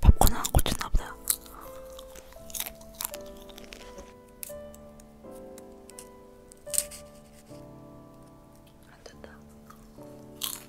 팝콘 안 꽂혔나 보다. 안 된다.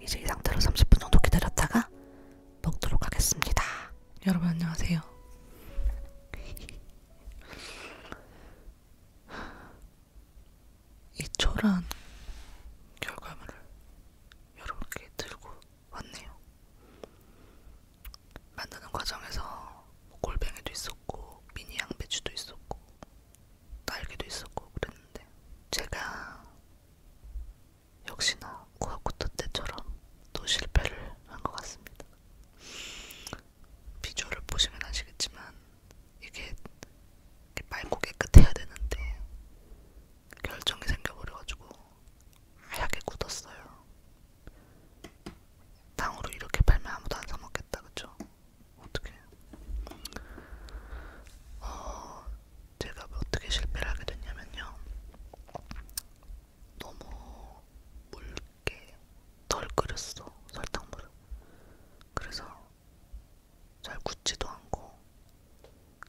이제 이 상태로 30분 정도 기다렸다가 먹도록 하겠습니다. 여러분 안녕하세요. 이 초란 결과물을 여러분께 들고 왔네요. 만드는 과정에서 뭐 골뱅이도 있었고 미니 양배추도 있었고 날개도 있었고 그랬는데 제가 역시나 구아쿠토 때처럼 또 실패를 한 것 같습니다. 비주얼을 보시면 아시겠지만 이게 맑고 깨끗해야 되는데 결정이 생겨버려가지고 하얗게 굳었어요. 탕후루 이렇게 팔면 아무도 안 사먹겠다, 그쵸? 어떻게? 어, 제가 어떻게 실패를 하게 됐냐면요. 너무 묽게 덜 끓였어, 설탕물을. 그래서 잘 굳지도 않고,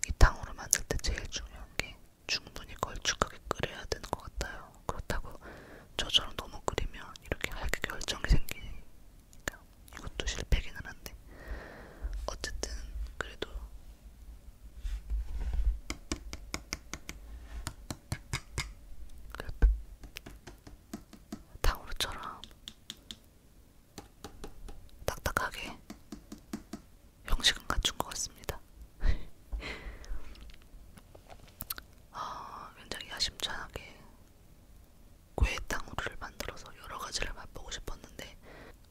이 탕후루 만들 때 제일 중요한 게 충분히 걸쭉하게 끓여야 되는 것 같아요. 그렇다고 저처럼 너무 끓이면 이렇게 하얗게 결정이 생기니까 이것도 실패기는 한데 어쨌든 그래도 탕후루처럼 그 딱딱하게 형식은 갖춘 것 같습니다. 어, 굉장히 야심찬하게 꾀탕후루를 만들어서 여러 가지를 맛보고 싶었는데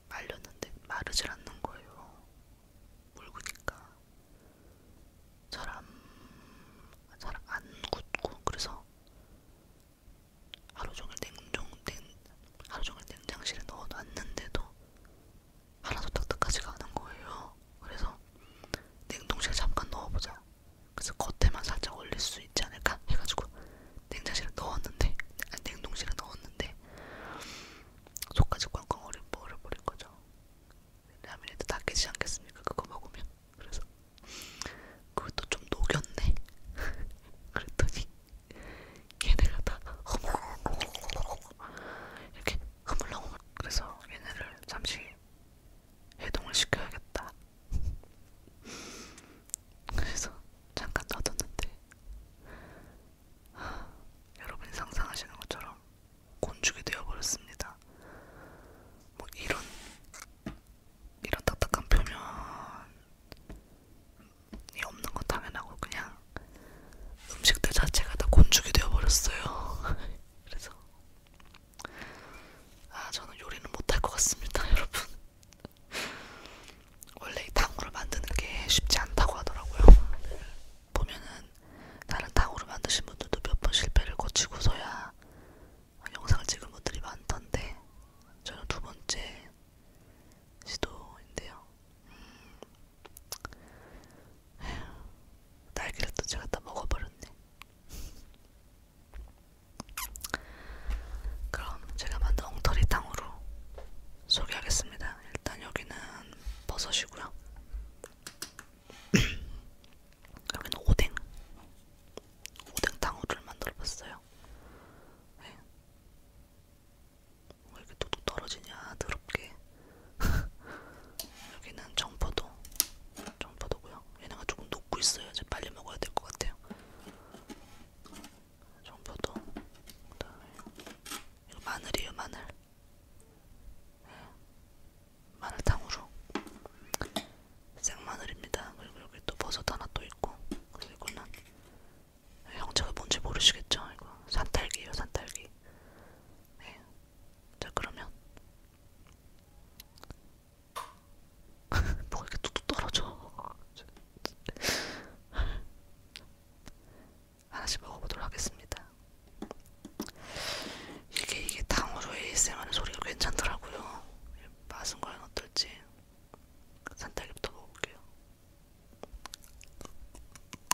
말렸는데 마르질 않는 거예요. 묽으니까 잘안 잘안 굳고 그래서 하루 종일 냉동 냉 하루 종일 냉장실에 넣어놨는데도 하나도 딱딱하지 않은 거예요. 그래서 냉동실에 잠깐 넣어보자. 그래서 겉에만 살짝 얼릴 수 있지 않을까 해가지고 냉장실에 넣었는데, 아니, 냉동실에 넣었는데 속까지 꽝꽝 얼려 버려버린 거죠. 라면에도 다 깨지 않겠습니까? 그거 먹으면 그래서 그것도 좀 녹였네. 그랬더니 걔네가 다 이렇게 흐물렁 그래서 얘네를 잠시 해동을 시켜야겠다. 그래서 잠깐 놔뒀는데 하, 여러분이 상상하시는 것처럼 곤죽이 되어버렸습니다. 뭐 이런 이런 딱딱한 표면이 없는 건 당연하고 그냥 음식들 자체가 다 곤죽이 되어버렸어요. 그래서 아 저는 요리는 못할 것 같습니다, 여러분. 원래 이 탕후루 만드는 게 쉽지 않다고 하더라고요. 보면은 다른 탕후루 만드신 분들도 몇 번 실패를 거치고서야 영상을 찍은 분들이 많던데 저는 두 번째 시도인데요. 음, 날개를 또 제가 다 먹어버렸네. 그럼 제가 만든 엉터리탕으로 소개하겠습니다. 일단 여기는 버섯이고요. 여기는 오뎅, 오뎅탕후루를 만들어봤어요. 네. 왜 이렇게 뚝뚝 떨어지냐 더럽게 여기는 정포도 정포도고요 얘네가 조금 녹고 있어요 이제 빨리 먹어야 될 것 같아요 정포도 그다음에 이거 마늘이에요 마늘 네. 마늘탕으로 생마늘입니다 그리고 여기 또 버섯 하나 또 있고 그리고 이거는 네, 형체가 뭔지 모르시겠죠 이거 산딸기예요 산딸기 네, 자 그러면 뭐가 이렇게 뚝뚝 떨어져 하나씩 먹어보도록 하겠습니다 이게 이게 탕후루 ASMR 소리가 괜찮더라고요 맛은 과연 어떨지 산딸기부터 먹어볼게요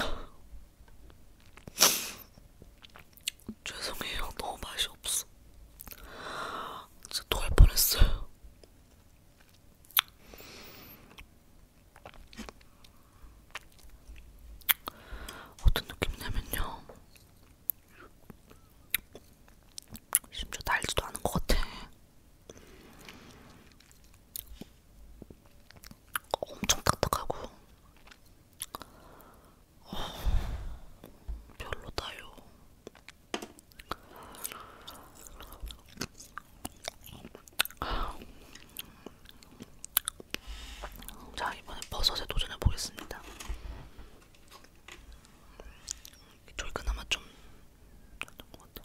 죄송해요. 너무 맛이 없어. 진짜 토할 뻔했어요. 어떤 느낌이냐면요. 심지어 달지도 않은 것 같아. 엄청 딱딱하고 어, 별로다요. 자 이번에 버섯에 도전해 보겠습니다. 졸그나마 좀. 것 같아.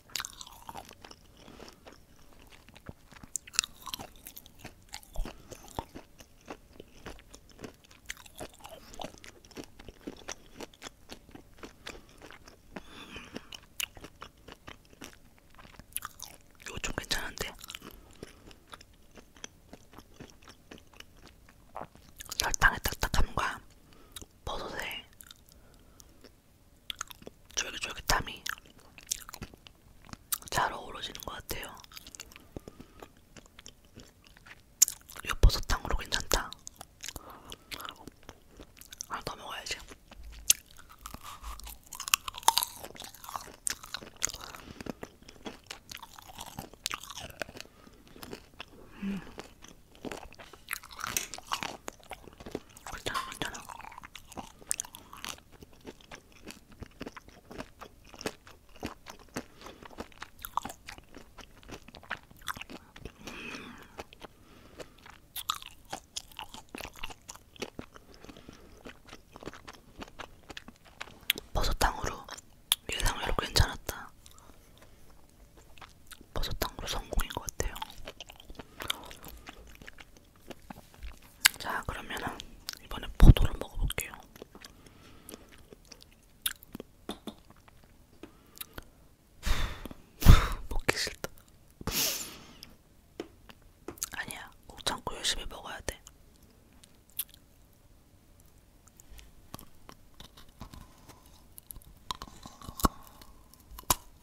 이거 좀 괜찮은데? 설탕의 딱딱함과 버섯의 쫄깃쫄깃함이 잘 어우러지는 것 같아요. 이거 버섯탕으로 괜찮다. 하나 더 먹어야지. 음. 괜찮아, 그렇죠. 괜찮아. 버섯탕으로 예상외로 괜찮았다. 버섯탕으로 성공인 것 같아요. 자 그러면은 이번에 포도를 먹어볼게요. 먹기 싫다. 아니야, 꼭 참고 열심히 먹어야 돼. 음.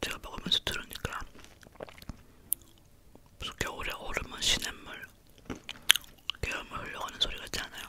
제가 먹으면서 들으니까 무슨 겨울에 얼음은 시냇물, 계엄을 흘려가는 소리 같지 않아요?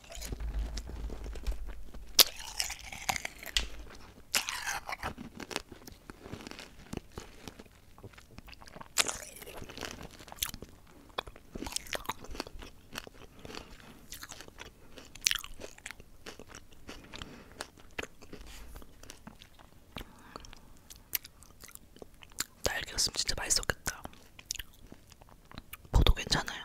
딸기였으면 진짜 맛있었겠다. 포도 괜찮아요.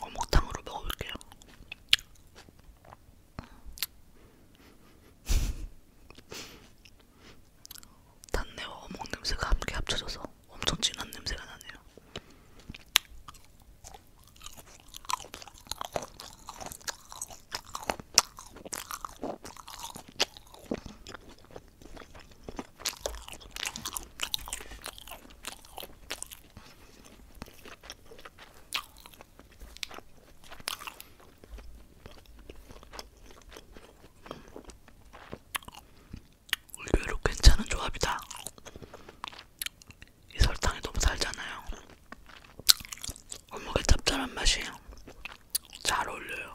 어묵탕으로 먹어볼게요. 단내와 어묵 냄새가 함께 합쳐져서 엄청 진한 냄새가 나네요. 의외로 괜찮은 조합이다. 이 설탕이 너무 달잖아요. 어묵의 짭짤한 맛이 잘 어울려요.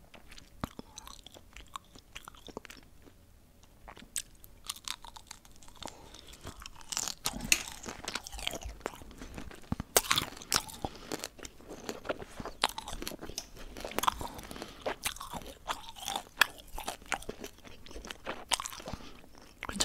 괜찮아요.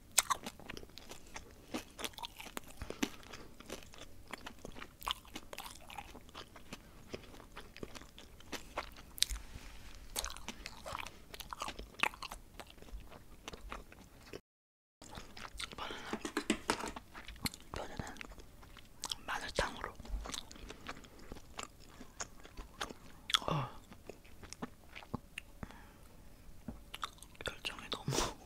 이번에는 이번에는 마늘탕으로 어. 결정이 너무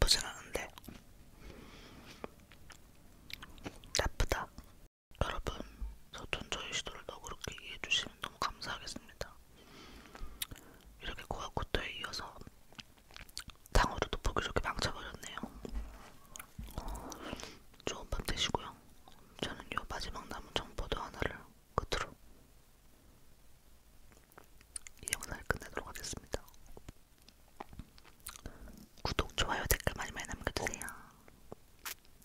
나쁘진 않은데 나쁘다 여러분 저 전 저희 시도를 더 그렇게 이해해 주시면 너무 감사하겠습니다 이렇게 고아쿠토에 이어서 당으로도 보기 좋게 망쳐버렸네요. 좋은 밤 되시고요. 저는 요 마지막 남은 정보도 하나를 끝으로 이 영상을 끝내도록 하겠습니다. 구독, 좋아요, 댓글 많이 많이 남겨주세요.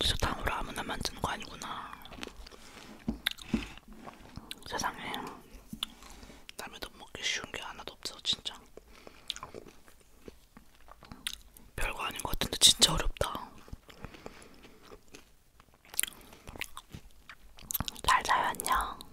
진짜 탕후루 아무나 만드는 거 아니구나. 세상에 남의 돈 먹기 쉬운 게 하나도 없어 진짜. 별거 아닌 것 같은데 진짜 어렵다. 잘 자요 안녕.